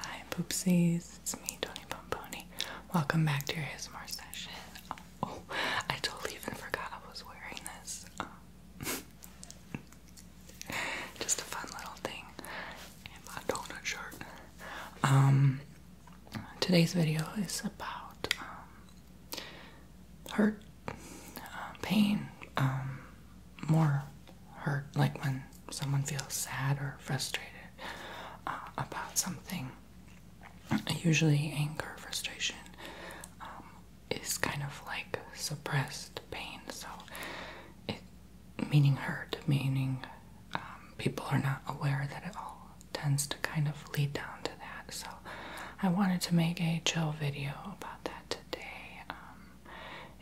Hi poopsies, it's me, Tony Pomponi. Welcome back to your ASMR session. Oh, I totally even forgot I was wearing this. Just a fun little thing. my donut shirt. Um, today's video is about um, hurt uh, pain, um, more hurt, like when someone feels sad or frustrated uh, about something. Usually, anger, frustration um, is kind of like suppressed pain, so meaning hurt, meaning um, people are not aware that it all tends to kind of lead down to so I wanted to make a chill video about that today. Um,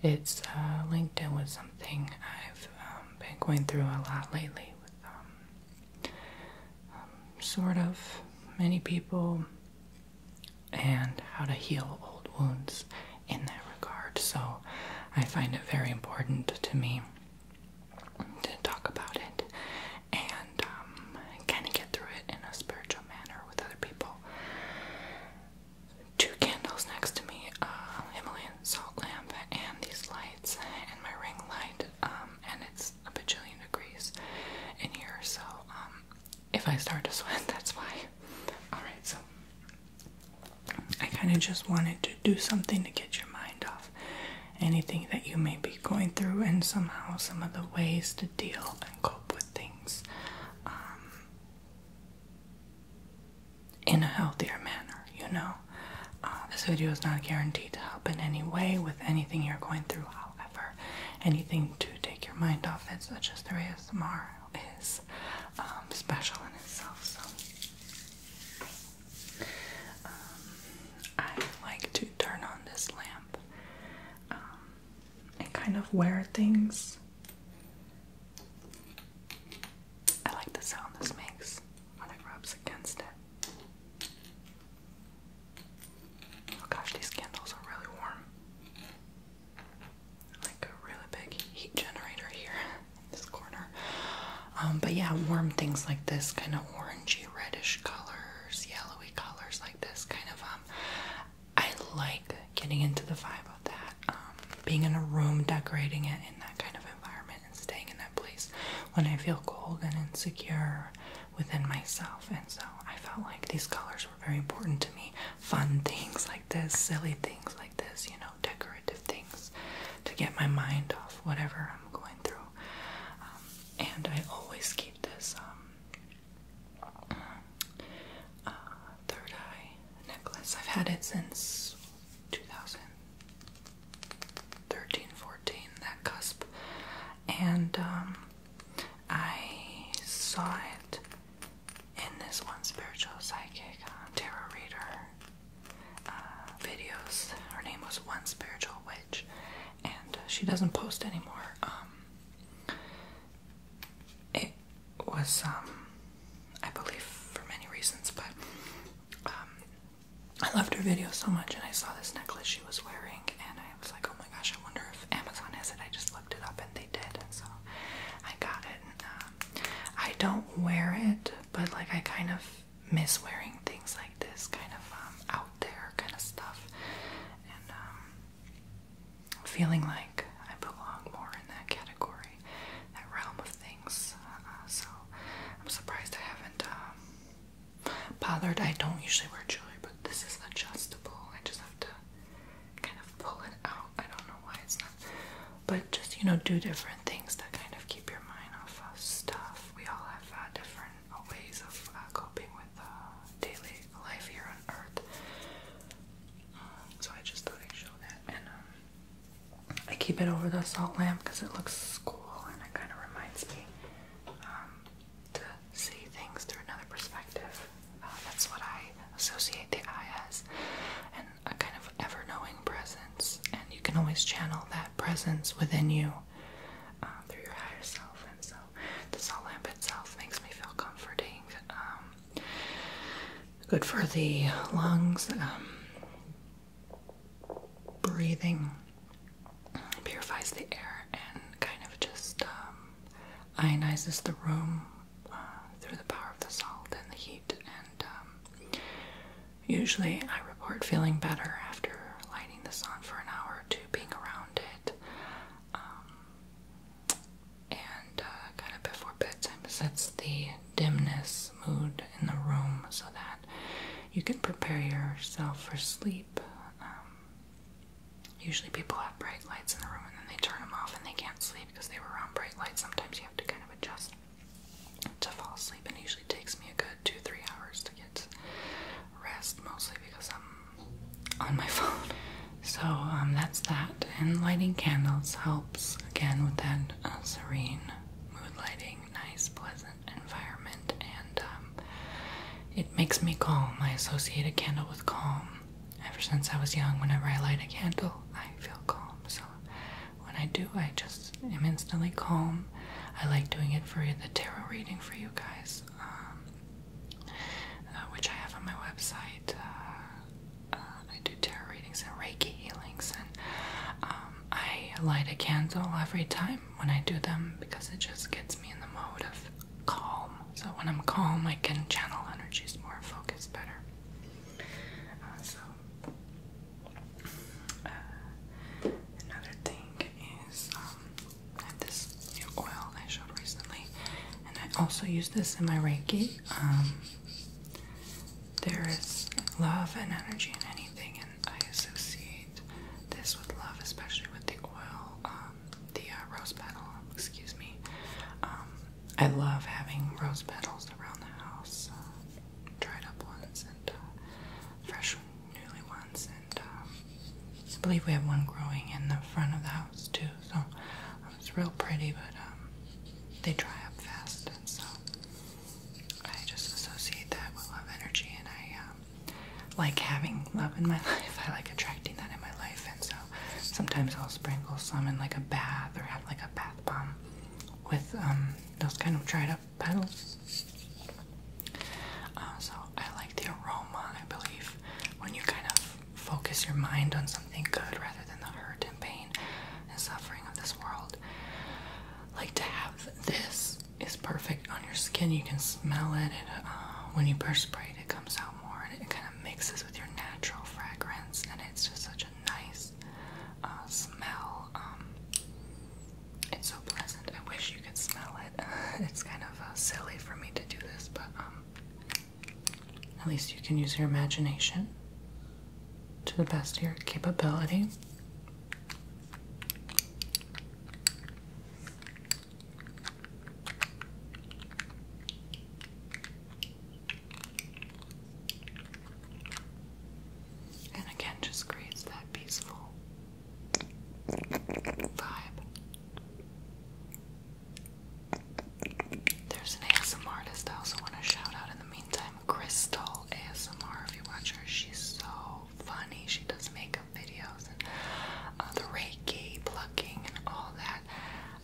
it's uh, linked in with something I've um, been going through a lot lately with um, sort of many people and how to heal old wounds in that regard. So I find it very important to me to talk about it and kind um, of get through it in a spiritual manner with other people. Two candles next to me, Himalayan uh, salt lamp, and these lights, and my ring light, um, and it's a bajillion degrees in here, so um, if I start to sweat, that's why. Alright, so I kind of just wanted to do something to get your mind off anything that you may be going through and somehow some of the ways to deal cope with things um, in a healthier manner, you know. Uh, this video is not guaranteed to help in any way with anything you're going through, however, anything to take your mind off it, such as through ASMR, is um, special in itself. So, um, I like to turn on this lamp. Um, and kind of wear things. I like the sound this makes when it rubs against it. Oh gosh, these candles are really warm. Like a really big heat generator here in this corner. Um, but yeah, warm things like this, kind of orangey, reddish colors, yellow colors like this kind of um, I like getting into the vibe of that. Um, being in a room, decorating it in that kind of environment and staying in that place when I feel cold and insecure within myself. And so I felt like these colors were very important to me. Fun things like this, silly things like this, you know, decorative things to get my mind off whatever I'm going through. Um, and I always keep this uh, third eye necklace. I've had it since 2013, that cusp. And um, I saw it in this one spiritual psychic uh, tarot reader uh, videos. Her name was One Spiritual Witch, and she doesn't post anymore. Um, it was, um, I believe, for many reasons, but um, I loved her video so much, and I saw this necklace she was wearing, and I was like, oh my gosh, I wonder if Amazon has it. I just looked it up, and they did, and so I got it. And, um, I don't wear it, but like I kind of miss wearing things like this, kind of um, out there kind of stuff, and um, feeling like I belong more in that category, that realm of things. Uh, so I'm surprised I haven't um, bothered. I don't usually wear jewelry, but this is adjustable. I just have to kind of pull it out. I don't know why it's not, but just you know, do different things that kind of keep your mind off of stuff. We all have uh, different ways of uh, coping with uh, daily life here on Earth. Um, so I just thought I'd show that, and um, I keep it over the salt lamp because it looks cool and it kind of reminds me um, to see things through another perspective. Uh, that's what I associate the eye as, and a kind of ever-knowing presence. And you can always channel that presence within you through your higher self, and so the salt lamp itself makes me feel comforting. Um, good for the lungs, um, breathing purifies the air and kind of just um, ionizes the room uh, through the power of the salt and the heat. And usually, I report feeling better after lighting this on for an hour or two, being around it and uh, kind of before bedtime sets the dimness mood in the room so that you can prepare yourself for sleep. Um, usually, people have bright lights in the room and then they turn them off and they can't sleep because they were around bright lights. Sometimes you have to kind of adjust to fall asleep, and it usually takes me a good two, three hours to get rest mostly because I'm on my phone. So um, that's that. And lighting candles helps again with that uh, serene mood lighting, nice, pleasant environment, and um, it makes me calm. I associate a candle with calm. Ever since I was young, whenever I light a candle, I feel calm. So when I do, I just am instantly calm. I like doing it for the tarot reading for you guys. Um, uh, which I have on my website. Uh, uh, I do tarot readings and Reiki healings, and um, I light a candle every time when I do them because it just gets me in the mode of calm. So when I'm calm, I can channel energies more, focused, better. so another thing is um, I this oil I showed recently, and I also use this in my Reiki. Um, there is love and energy in anything, and I associate this with love, especially with the oil, um, the uh, rose petals. Excuse me. Um, I love having rose petals around the house, uh, dried up ones and uh, fresh, newly ones, um, I believe we have one growing in the front of the house too. So um, it's real pretty, but um, they dry up fast, and so I just associate that with love energy, and I like having love in my life. I like attracting that in my life, and so sometimes I'll sprinkle some in like a bath or have like a bath bomb with those kind of dried up petals. Uh, so I like the aroma, I believe, when you kind of focus your mind on something good rather than the hurt and pain and suffering of this world. Like to have this is perfect on your skin. You can smell it, and uh, when you perspire, it comes out more, and it kind of mixes with your natural fragrance, and it's just such a nice uh, smell. Um, it's so pleasant. I wish you you can smell it. it's kind of uh, silly for me to do this, but um, at least you can use your imagination to the best of your capability. And again, just creates that peaceful vibe. There's an ASMR artist I also want to shout out in the meantime, Crystal ASMR. If you watch her, she's so funny. She does makeup videos and uh, the Reiki plucking and all that.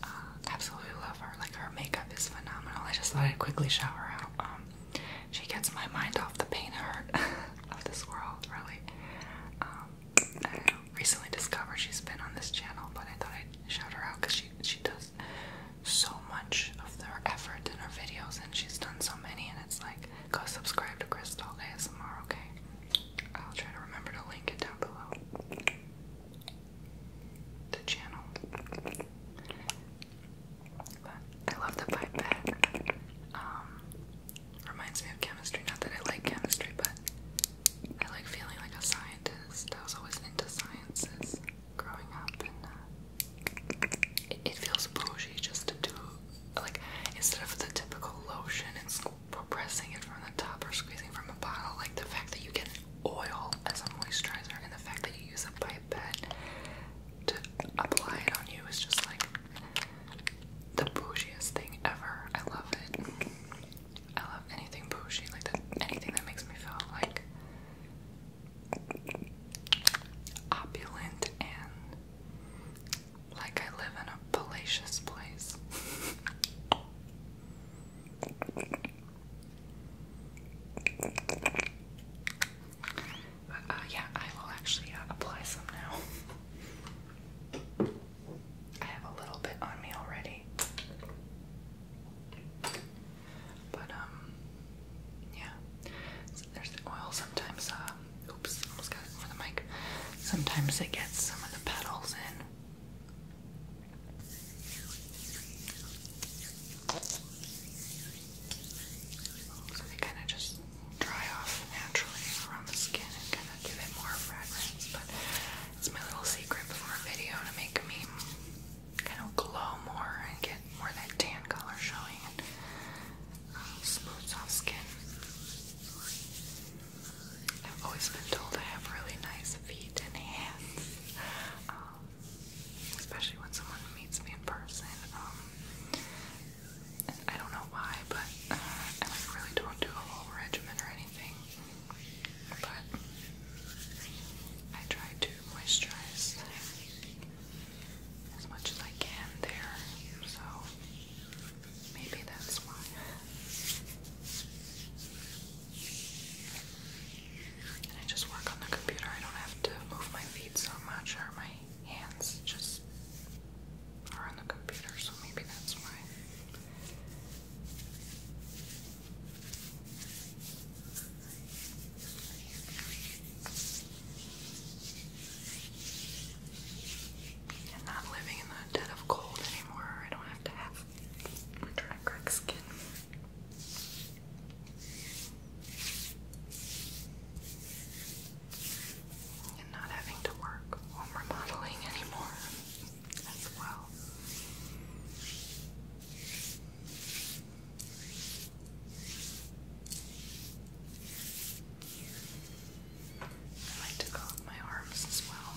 Uh, absolutely love her. Like her makeup is phenomenal. I just thought I'd quickly shout her out. Um, she gets my mind off the pain hurt of this world, really. Um, recently discovered she's been on this channel, but I thought I'd shout her out because she she does so much of her effort in her videos, and she's done so many. And it's like, go subscribe to Crystal ASMR, okay? I'll try to remember to link it down below. The channel. But I love the pipe um, Reminds me of chemistry. Not that I like chemistry, but I like feeling like a scientist. I was always into sciences growing up, and uh, it, it feels bougie just to do like instead of the typical lotion and pressing it from the top or squeezing from a bottle. Like the fact that you get oil as a moisturizer and the fact that you use a pipette to apply it on you is just like the bougiest thing ever. I love it. I love anything bougie, like that, anything that makes me feel like opulent and like I live in a palatial place. Uh, yeah, I will actually uh, apply some now. I have a little bit on me already. But, um, yeah. there's oil. Sometimes, um, oops, almost got it for the mic. Sometimes it gets some of the petals in. So they kind of just dry off naturally around the skin and kind give it more fragrance, but it's my little secret before a video to make me kind of glow more and get more that tan color showing and uh, smooth, soft skin. I've always been told I have really nice feet and hands, um, especially when someone meets me in person. Um, I don't know why, but uh, I really don't do a whole regimen or anything. But I try to moisturize as much as I can there, so maybe that's why. And I just work on the computer. I don't have to move my feet so much or my hands. Just are on the computer, so maybe that's why. I'm not living in the dead of cold anymore. I don't have to have winter and skin and not having to work on remodeling anymore as well. I like to coat my arms as well.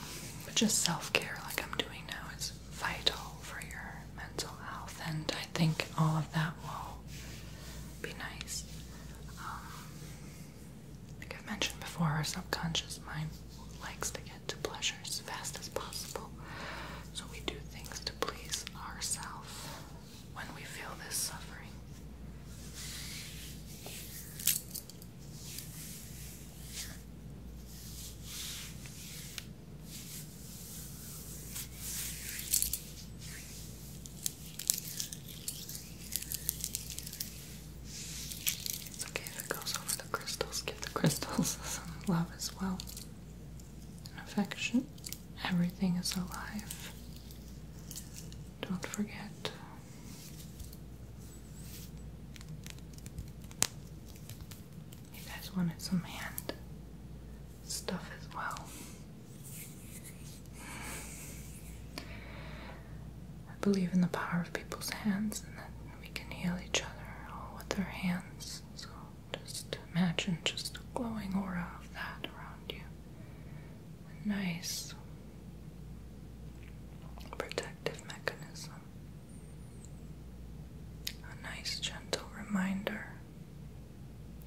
But just self care, like I'm doing now, is vital for your mental health, and I think all of that will be nice. Um, like I've mentioned before, our subconscious mind likes to get to pleasure as fast as possible. So we do things to please ourselves when we feel this suffering. It's okay if it goes over the crystals. Give the crystals some love as well. And affection. Everything is alive. Don't forget. You guys wanted some hand stuff as well. I believe in the power of people's hands and that we can heal each other all with our hands. So just imagine just a glowing aura of that around you. A nice protective mechanism. A nice gentle reminder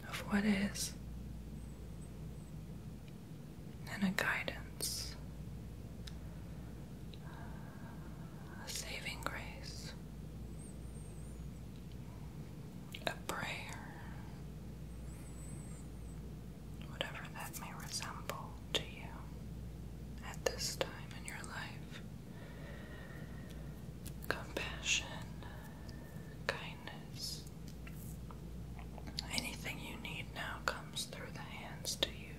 of what is and a guidance, a saving grace, a prayer, whatever that may resemble to you at this time in your life. Compassion, kindness. Anything you need now through the hands to you.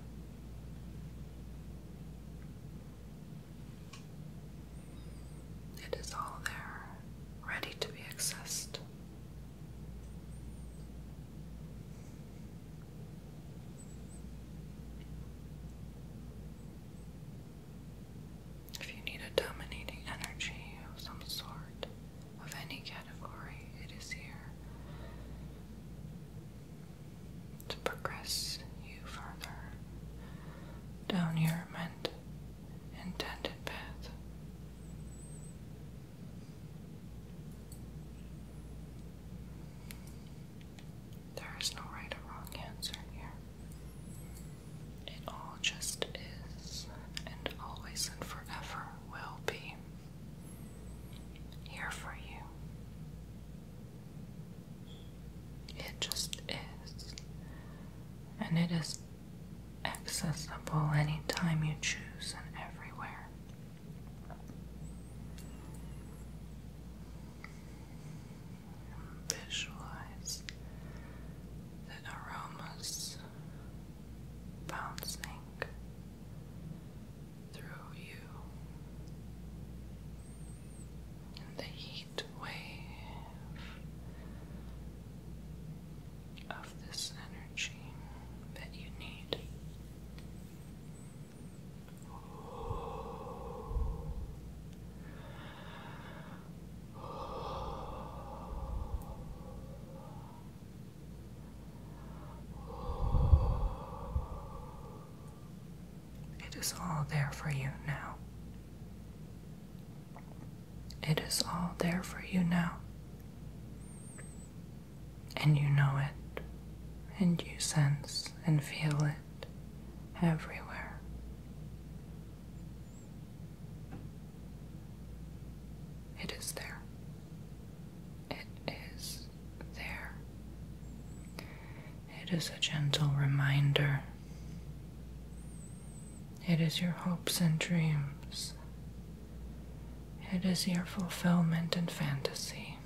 It is all there, ready to be accessed. If you need a dominating energy of some sort, of any category, it is here to progress you further down your meant intended path. There is no right or wrong answer here. It all just is, and always and forever will be here for you. It just is, and it is accessible anytime you choose and everywhere. visualize the aromas bouncing through you. And the heat wave of this energy that you need. It is all there for you now. It is all there for you now. And you know it, and you sense and feel it everywhere. It is there it is there. It is a gentle reminder. It is your hopes and dreams. It is your fulfillment and fantasy.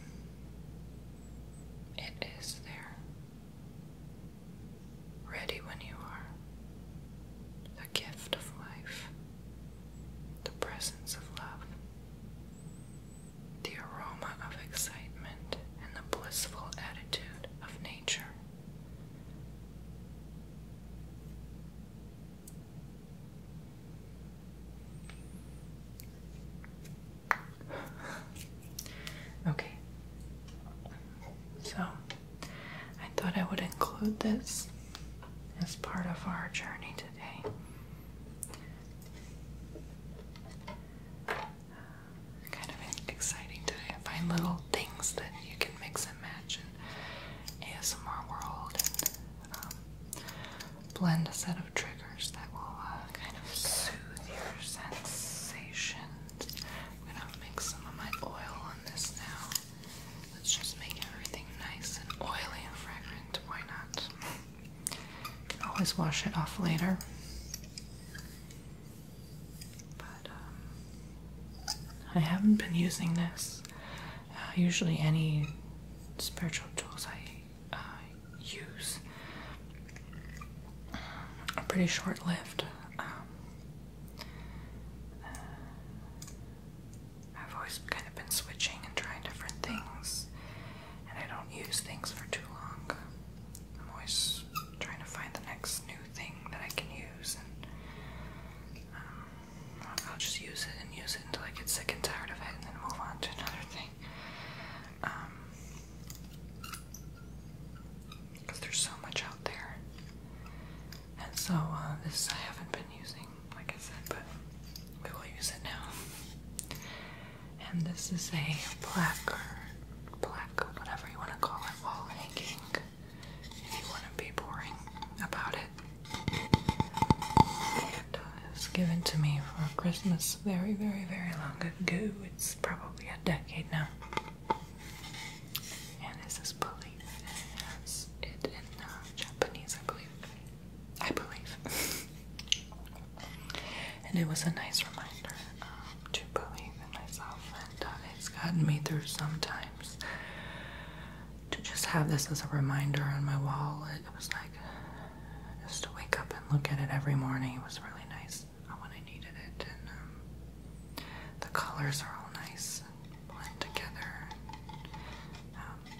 It is there, ready when you are the gift of life, the presence of love, the aroma of excitement, and the blissful attitude of nature. okay. So, I thought I would include this as part of our journey today. Kind of exciting day. I find little things that you can mix and match in ASMR world and um, blend a set of triggers that will uh, kind of soothe your sensations. I'm gonna mix some of my oil on this now. Let's just make everything nice and oily and fragrant. Why not? can always wash it off later. But um, I haven't been using this. Uh, usually, any spiritual tools I uh, use are pretty short lived. Um, uh, I've always kind of been switching and trying different things, and I don't use things for too long. I'm always trying to find the next new thing that I can use, and um, I'll just use it and use it until I get sick and tired of it, and then move on to another thing. Because um, there's so much out there. And so, uh, this I haven't been using like I said, but we will use it now. And this is a placard, plaque, whatever you want to call it, wall hanging. If you want to be boring about it. Uh, it was given to me for Christmas very, very, very long ago. It's probably a decade now. And this is believe it has it in uh, Japanese, I believe. I believe. and it was a nice reminder um, to believe in myself, and uh, it's gotten me through sometimes. To just have this as a reminder on my wall, it, was like just to wake up and look at it every morning. It was really nice uh, when I needed it, and um, the colors are all nice and blend together. Um,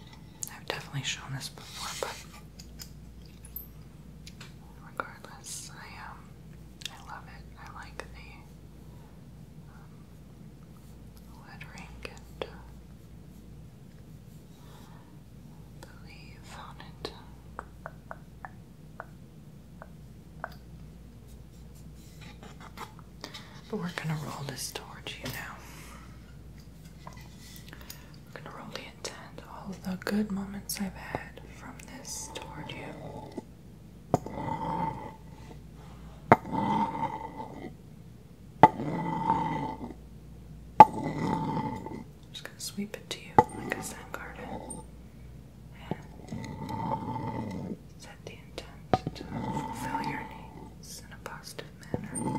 I've definitely shown this before, but regardless, I um, I love it. I like the um, lettering and uh, the leaf on but we're gonna roll this towards you now. We're gonna roll the intent, all the good moments I've had from this toward you. just gonna sweep it to you like a sand garden set the intent to fulfill your needs animals in a positive manner.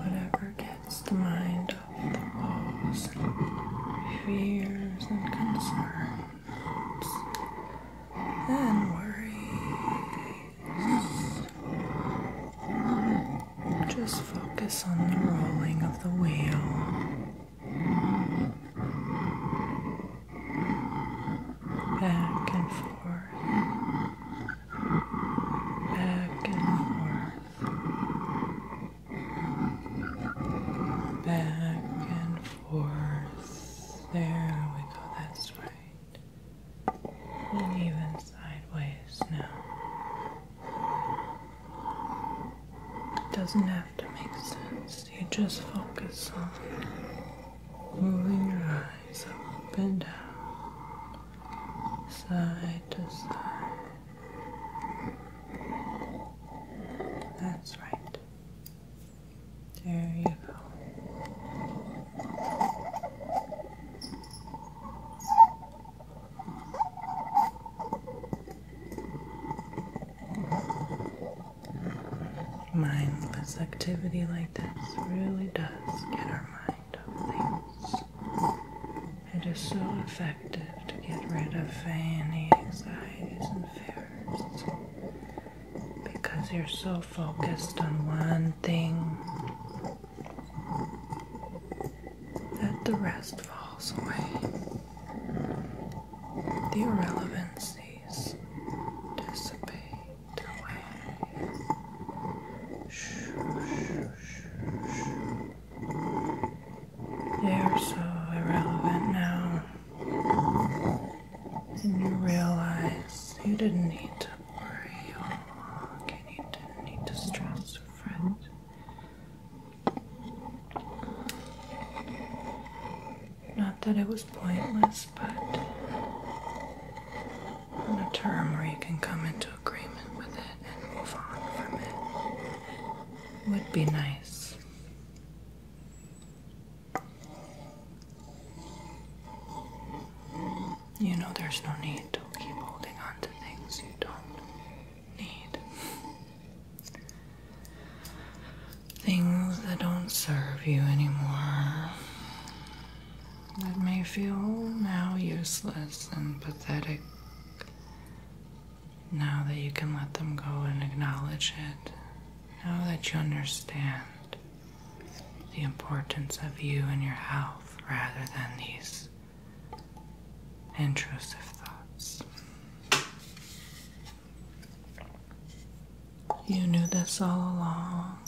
Whatever gets the mind off the walls fears and concerns and worry. Just focus on the rolling of the wheel. Back and forth. Back and forth. Back and there we go, that's right. And even sideways No, It doesn't have to make sense. You just focus on moving your eyes up and down, side to side. That's right. There you go. Mindless activity like this really does get our mind off things. It is so effective to get rid of any anxieties and fears because you're so focused on one thing that the rest falls away. The irrelevancies dissipate away. Shh, shh, shh, shh. They are so irrelevant now. And you realize you didn't need to worry and you didn't need to stress your fret. Not that it was pointless, but on a term where you can come into agreement with it and move on from it would be nice. You know, there's no need to keep holding on to things you don't need. Things that don't serve you anymore, that may feel now useless and pathetic, now that you can let them go and acknowledge it, now that you understand the importance of you and your health rather than these intrusive thoughts. You knew this all along.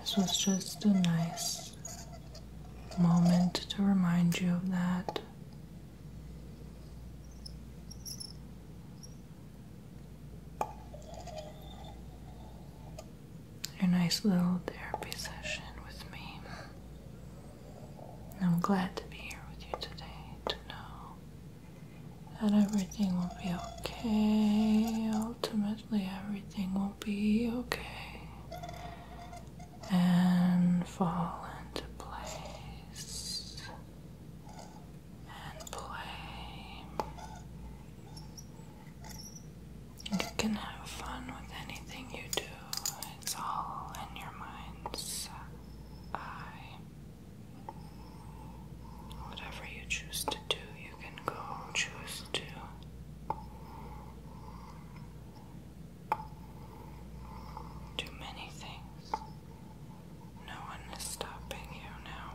This was just a nice moment to remind you of that a nice little therapy session with me. I'm glad to be here with you today to know that everything will be okay. Ultimately, everything will be okay and fall into place and play. You can have fun with anything you do, it's all in your mind's eye. Whatever you choose to do, you can go choose to. Do many things. No one is stopping you now.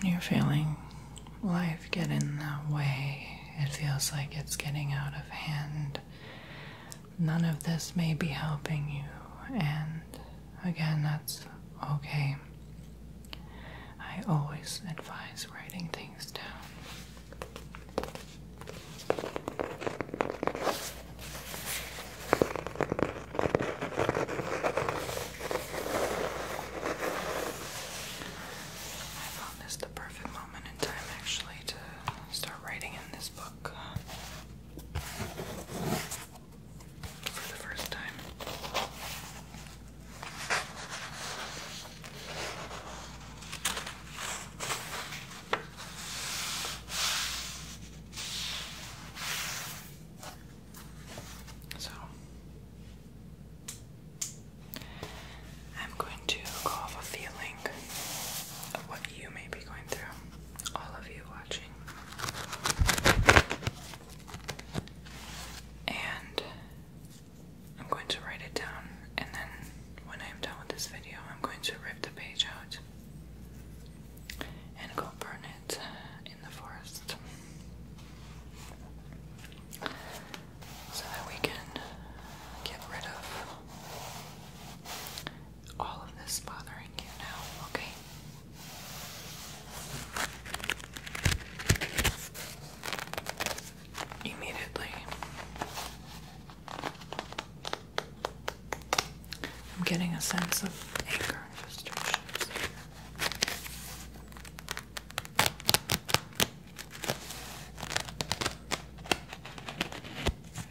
When you're feeling life get in that way, it feels like it's getting out of hand none of this may be helping you, and again, that's okay. I always advise writing things down. I found this the perfect moment in time actually to start writing in this book for the first time. So I'm going to go off a feeling of what you may be going through all of you watching. And I'm going to write it down, and then when I'm done with this video, I'm going to rip the page out and go burn it in the forest so that we can get rid of all of this bothering you now, okay? Immediately. I'm getting a sense of anger and frustration.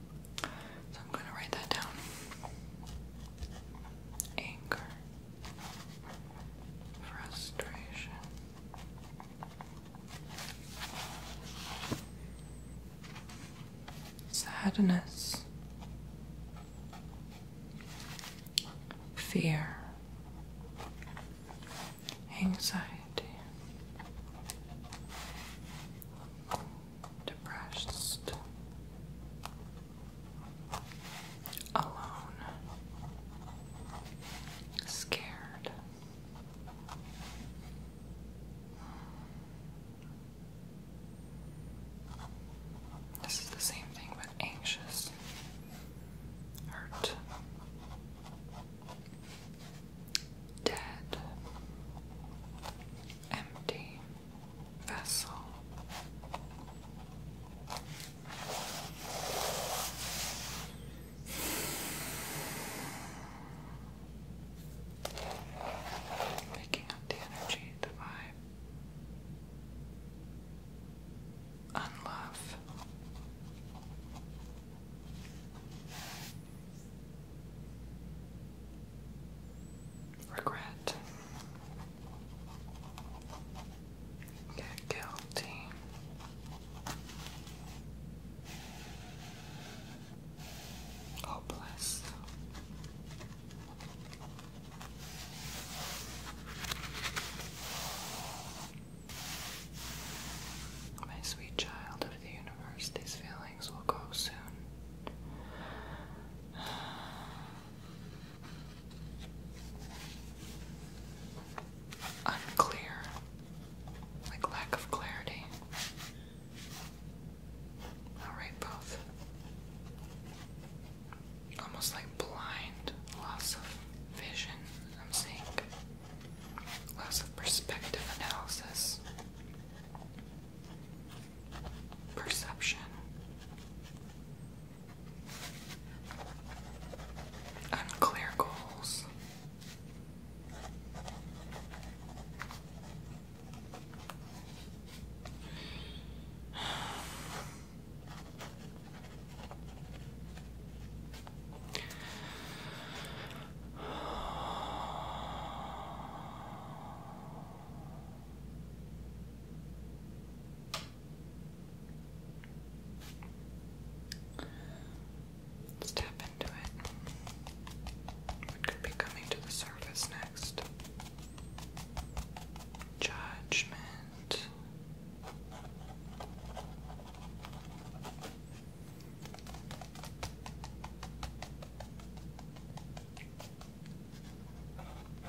So I'm going to write that down. Anger, frustration. Sadness, fear, anxiety, depressed, alone, scared. This is the same thing but anxious, hurt, dead, empty, vessel. Picking up the energy, the vibe, unlove. Regret. Get guilty. Hopeless. My sweet child, the universe. These feelings will go soon. Unclear, like lack of clarity. i both. Almost like blind, loss of vision, I'm seeing. Loss of perspective analysis perception. Unclear goals. Let's into it. What could be coming to the surface next? Judgment.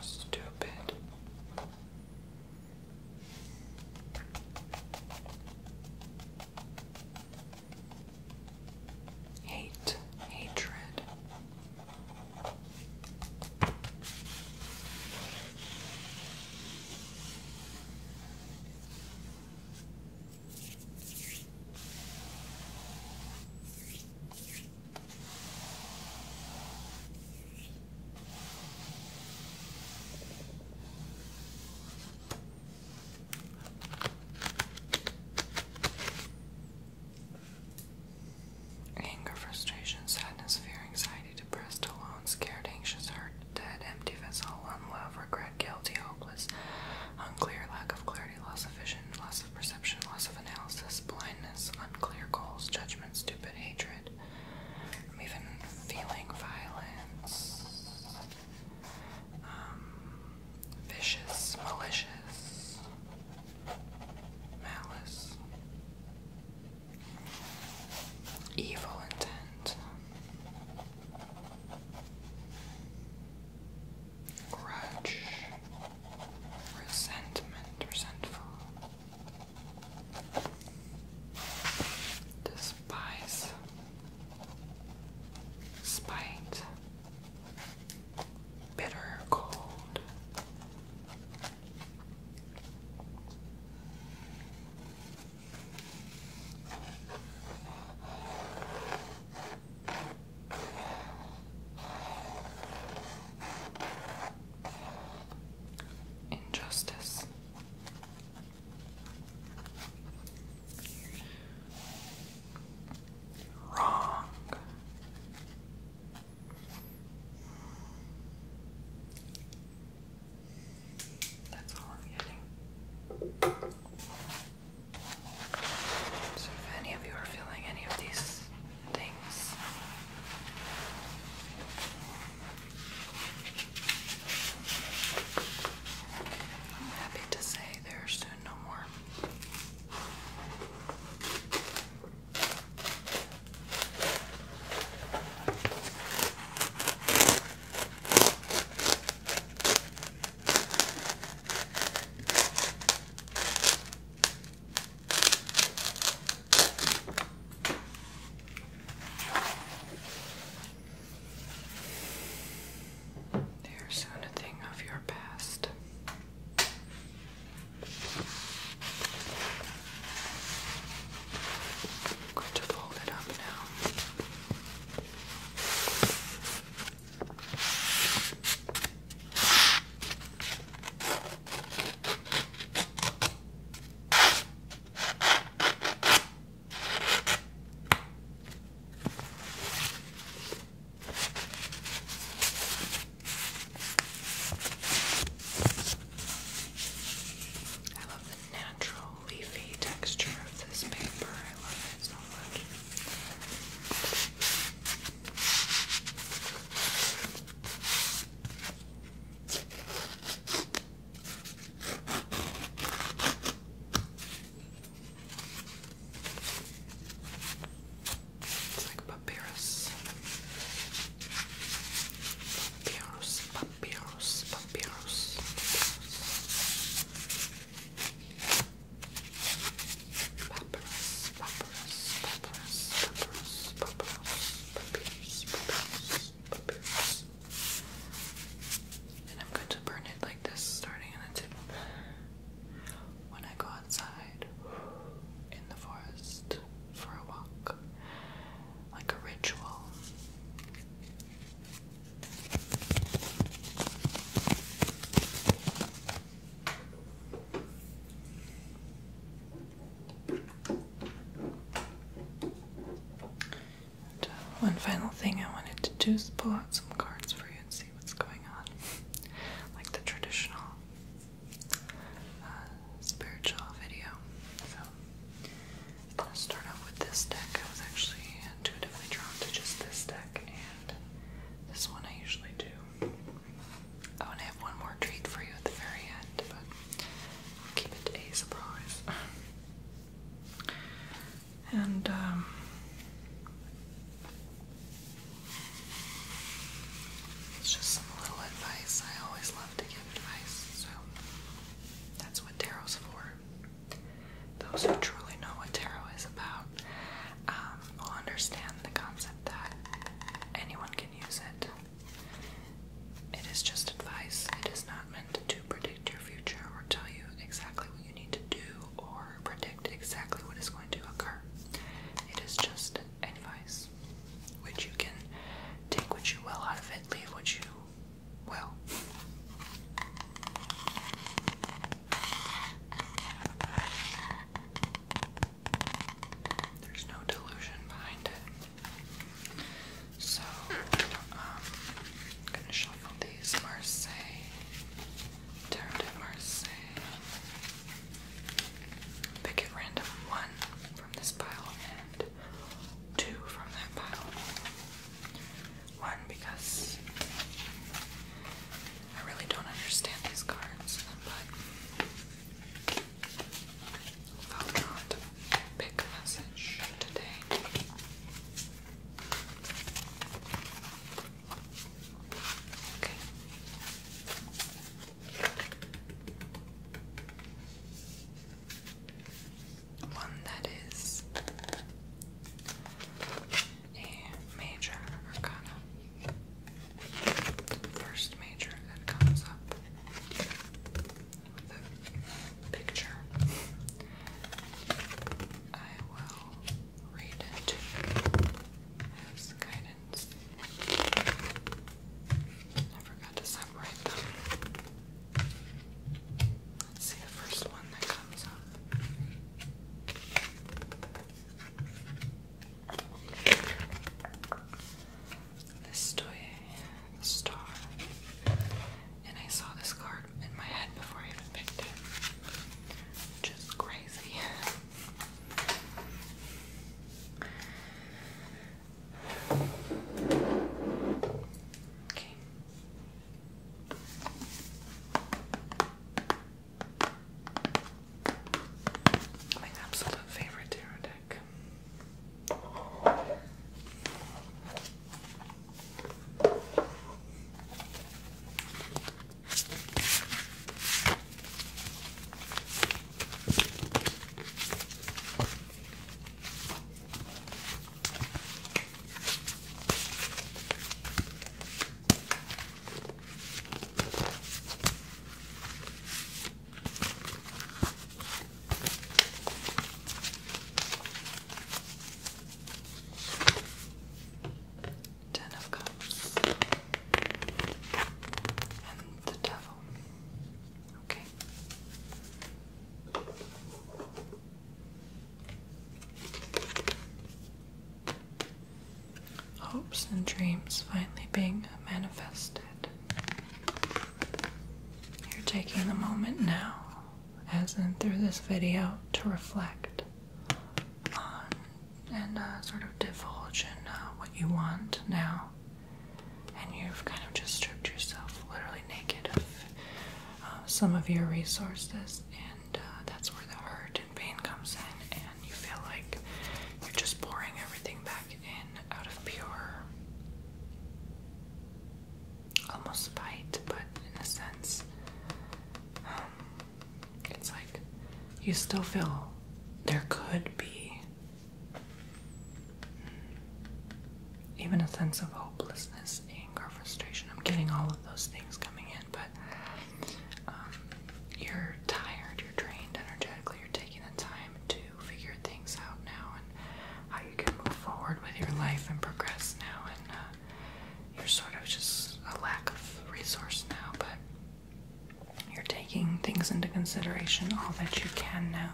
Stupid. Hate, hatred. Anger, frustration, sadness, fear, anxiety, depressed, alone, scared, anxious, hurt, dead, empty vessel, unloved, regret, guilty, hopeless, unclear lack of clarity, loss of vision, loss of perception, loss of analysis, blindness, unclear goals, judgment, stupid hatred. even feeling violence, um, vicious, malicious, malice, evil intent grudge, resentment, resentful, despise, spite, bitter, cold. Injustice. Wrong. That's all I'm getting. So, if any of you are feeling any of these things, I'm happy to say there no more. There's soon a thing of your past. I'm going to fold it up now. I love the natural leafy texture of this paper. I love it so much. It's like papyrus. Papyrus, papyrus, papyrus. papyrus. And I'm going to burn it like this, starting in the tip. When I go outside in the forest for a walk, like a ritual. Uh, one final thing I wanted to do is pull out some cards for you and see what's going on, like the traditional uh, spiritual video. So I'm gonna start off with this deck. I was actually intuitively drawn to just this deck and this one I usually do. Oh, I want to have one more treat for you at the very end, but I'll keep it a surprise. And, um, it's just some little advice. I always love to give advice, so that's what tarot's for. Those who truly know what tarot is about um, will understand the concept that anyone can use it. It is just advice. It is not meant to predict your future or tell you exactly what you need to do or predict exactly what is going to occur. It is just advice, which you can take what you will out of it, leave what you will. There's no delusion behind it. So, I'm um, gonna shuffle these Marseille, Tarot Marseille. Pick at random one from this pile and two from that pile. One because I really don't understand these cards, but I'll not pick a message today. Okay. One that is a major arcana. First major that comes up with picture. I will read it as guidance. I forgot to separate them. Let's see the first one that comes up the Star. And I saw this card in my head before I even picked it. Which crazy. Okay. My absolute favorite tarot deck. Ten of Cups and the Devil. Okay hopes and dreams finally being manifested. You're taking a moment now, as in through this video, to reflect on and uh, sort of divulge in uh, what you want now. And you've kind of just stripped yourself literally naked of uh, some of your resources uh, that's where the hurt and pain comes in, and you feel like you're just pouring everything back in out of pure, almost spite, but in a sense, um, it's like you still feel there could be mm, even a sense of hopelessness, anger, frustration. I'm getting all of those things coming in, but um, you're tired, you're drained energetically, you're taking the time to figure things out now and how you can move forward with your life and progress now, and uh, you're sort of just a lack of resource now, but. You're taking things into consideration, all that you can now,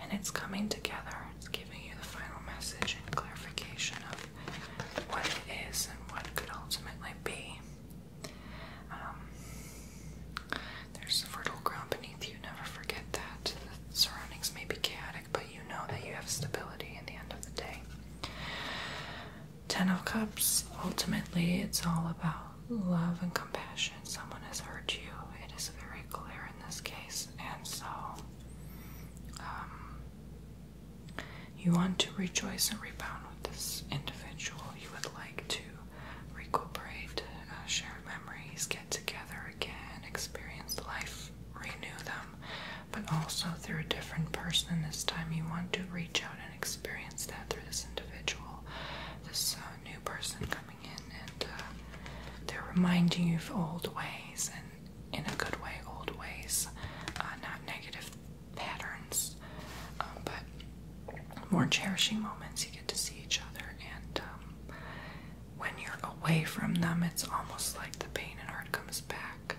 and it's coming together. It's giving you the final message and clarification of what it is and what could ultimately be. Um, there's fertile ground beneath you, never forget that. The surroundings may be chaotic, but you know that you have stability at the end of the day. Ten of Cups, ultimately, it's all about love and compassion. Someone has hurt you, it is very clear in this case, and so um, you want to rejoice and rebound with this individual. You would like to recuperate uh, share memories, get together again, experience life, renew them, but also through a different person. This time, you want to reach out and experience that through this individual, this uh, new person coming in, and uh, they're reminding you of old ways and in a good way, old ways, not negative patterns, um, but more cherishing moments. You get to see each other, and um, when you're away from them, it's almost like the pain and hurt comes back,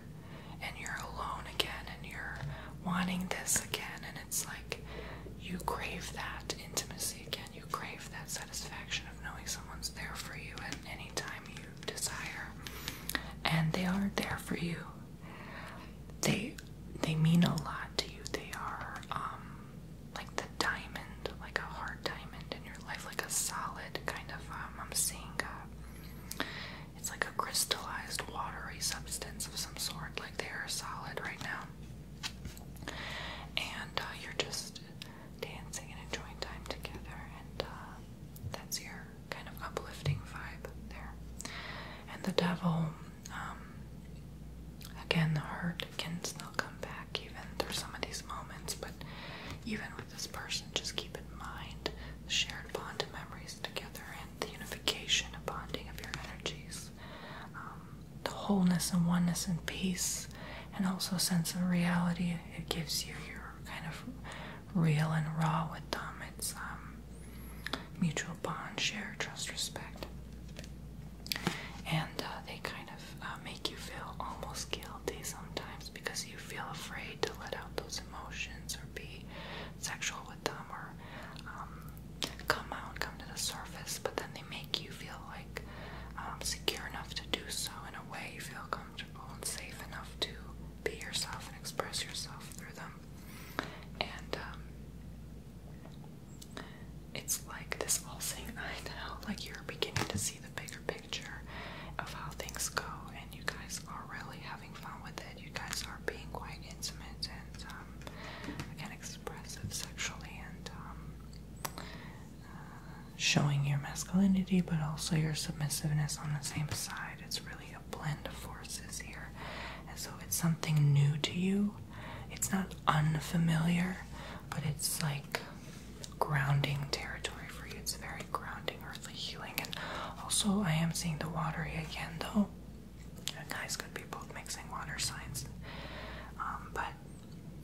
and you're alone again, and you're wanting this again, and it's like you crave that intimacy again. You crave that satisfaction of knowing someone's there for you at any time you desire, and they are there for you they they mean a lot to you. They are um, like the diamond, like a hard diamond in your life, like a solid kind of. Um, I'm seeing a, it's like a crystallized watery substance of some sort. Like they are solid right now, and uh, you're just dancing and enjoying time together, and uh, that's your kind of uplifting vibe there. And the devil, um, again, the hurt can still come back even through some of these moments, but even with this person, just keep in mind the shared bond of memories together and the unification and bonding of your energies, um, the wholeness and oneness and peace, and also a sense of reality it gives you. Your kind of real and raw with them. It's um, mutual bond, share, trust, respect. And uh, they kind of uh, make you feel almost guilty sometimes because you feel afraid to let out those emotions or be sexual with them or um, come out, come to the surface, but then they make you feel like um, secure enough to do so in a way you feel comfortable and safe enough to be yourself and express yourself through them them. And um, it's like this all saying, I know, like you're beginning to see the bigger picture of how things go, and you guys are really having fun with it. You guys are being quite intimate and um, again expressive sexually, and um, uh, showing your masculinity, but also your submissiveness on the same side. It's really a blend of forces here. And so it's something new to you. It's not unfamiliar, but it's like grounding territory for you. It's very grounding, earthly healing. And also, I am seeing the watery again, though. guys could be both mixing water signs. Um, but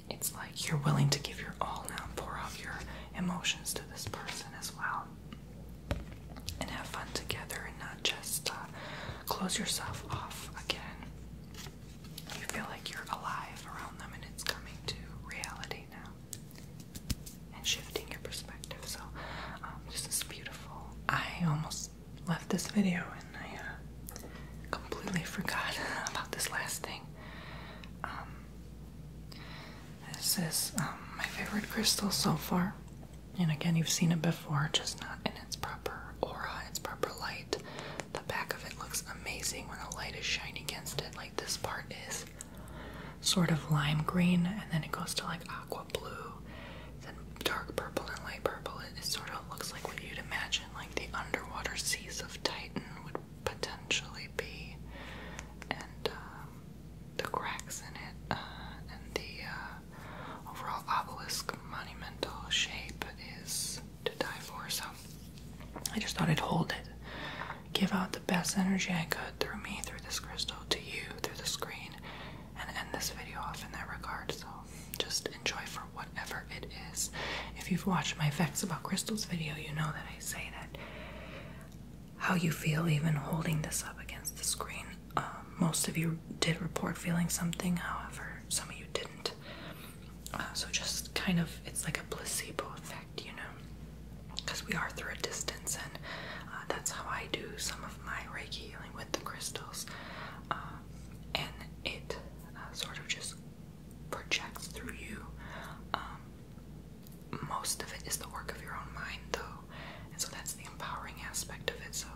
it's like you're willing to give your all now, pour out your emotions to this person as well and have fun together and not just uh, close yourself off again. You feel like you're alive around them and it's coming to reality now and shifting your perspective. So, um, this is beautiful. I almost left this video and I uh, completely forgot about this last thing. Um, this is um, my favorite crystal so far. And again, you've seen it before, just not in its proper aura, its proper light. The back of it looks amazing when the light is shining against it. Like this part is sort of lime green, and then it goes to like aqua blue, then dark purple and light purple. It, sort of looks like what you'd imagine, like the underwater seas of Titan would potentially be. And um, the cracks in it uh, and the uh, overall obelisk monumental shape is to die for. So I just thought I'd hold it, give out the best energy I could through me, through this crystal, to you, through the screen, and end this video off in that regard. So just enjoy for whatever it is. If you've watched my Facts About Crystals video, you know that I say that how you feel even holding this up against the screen. Um, most of you did report feeling something, however, some of you didn't. Uh, so just kind of, it's like a placebo effect, you know, because we are through a distance, and uh, that's how I do some of my Reiki healing with the crystals, um, and it uh, sort of just projects through you. Um, most of it is the work of your own mind, though, and so that's the empowering aspect of it. So,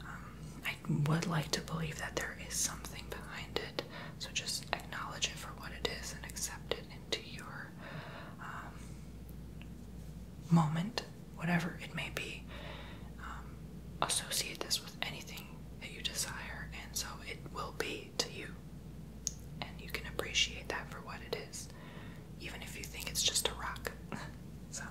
um, I would like to believe that there is something behind it, so just acknowledge it for what it is and accept it into your um, moment, whatever it may be. Um, associate this with anything that you desire, and so it will be to you, and you can appreciate that for what it is even if you think it's just a rock. so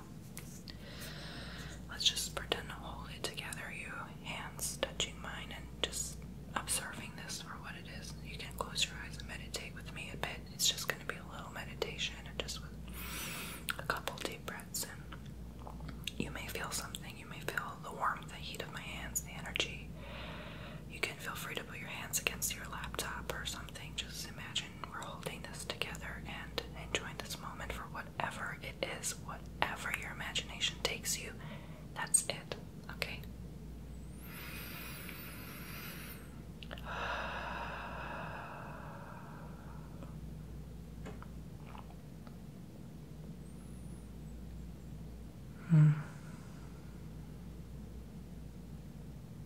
let's just pretend to hold it together, you hands touching mine, and just observing this for what it is. You can close your eyes and meditate with me a bit. It's just going to be a little meditation, and just with a couple deep breaths. And you may feel something. You may feel the warmth, the heat of my hands, the energy. You can feel free to put your hands against your laptop or something. Just imagine we're holding this together and enjoying this moment for whatever it is, whatever your imagination takes you. That's it, okay? Hmm.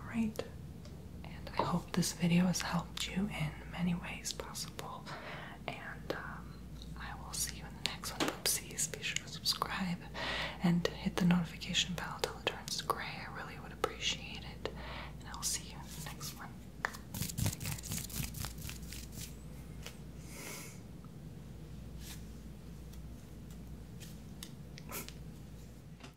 Alright, and I hope this video has helped you in many ways possible. And um, I will see you in the next one, Oopsies. Be sure to subscribe and hit the notification bell until it turns gray. I really would appreciate it. And I will see you in the next one. Bye,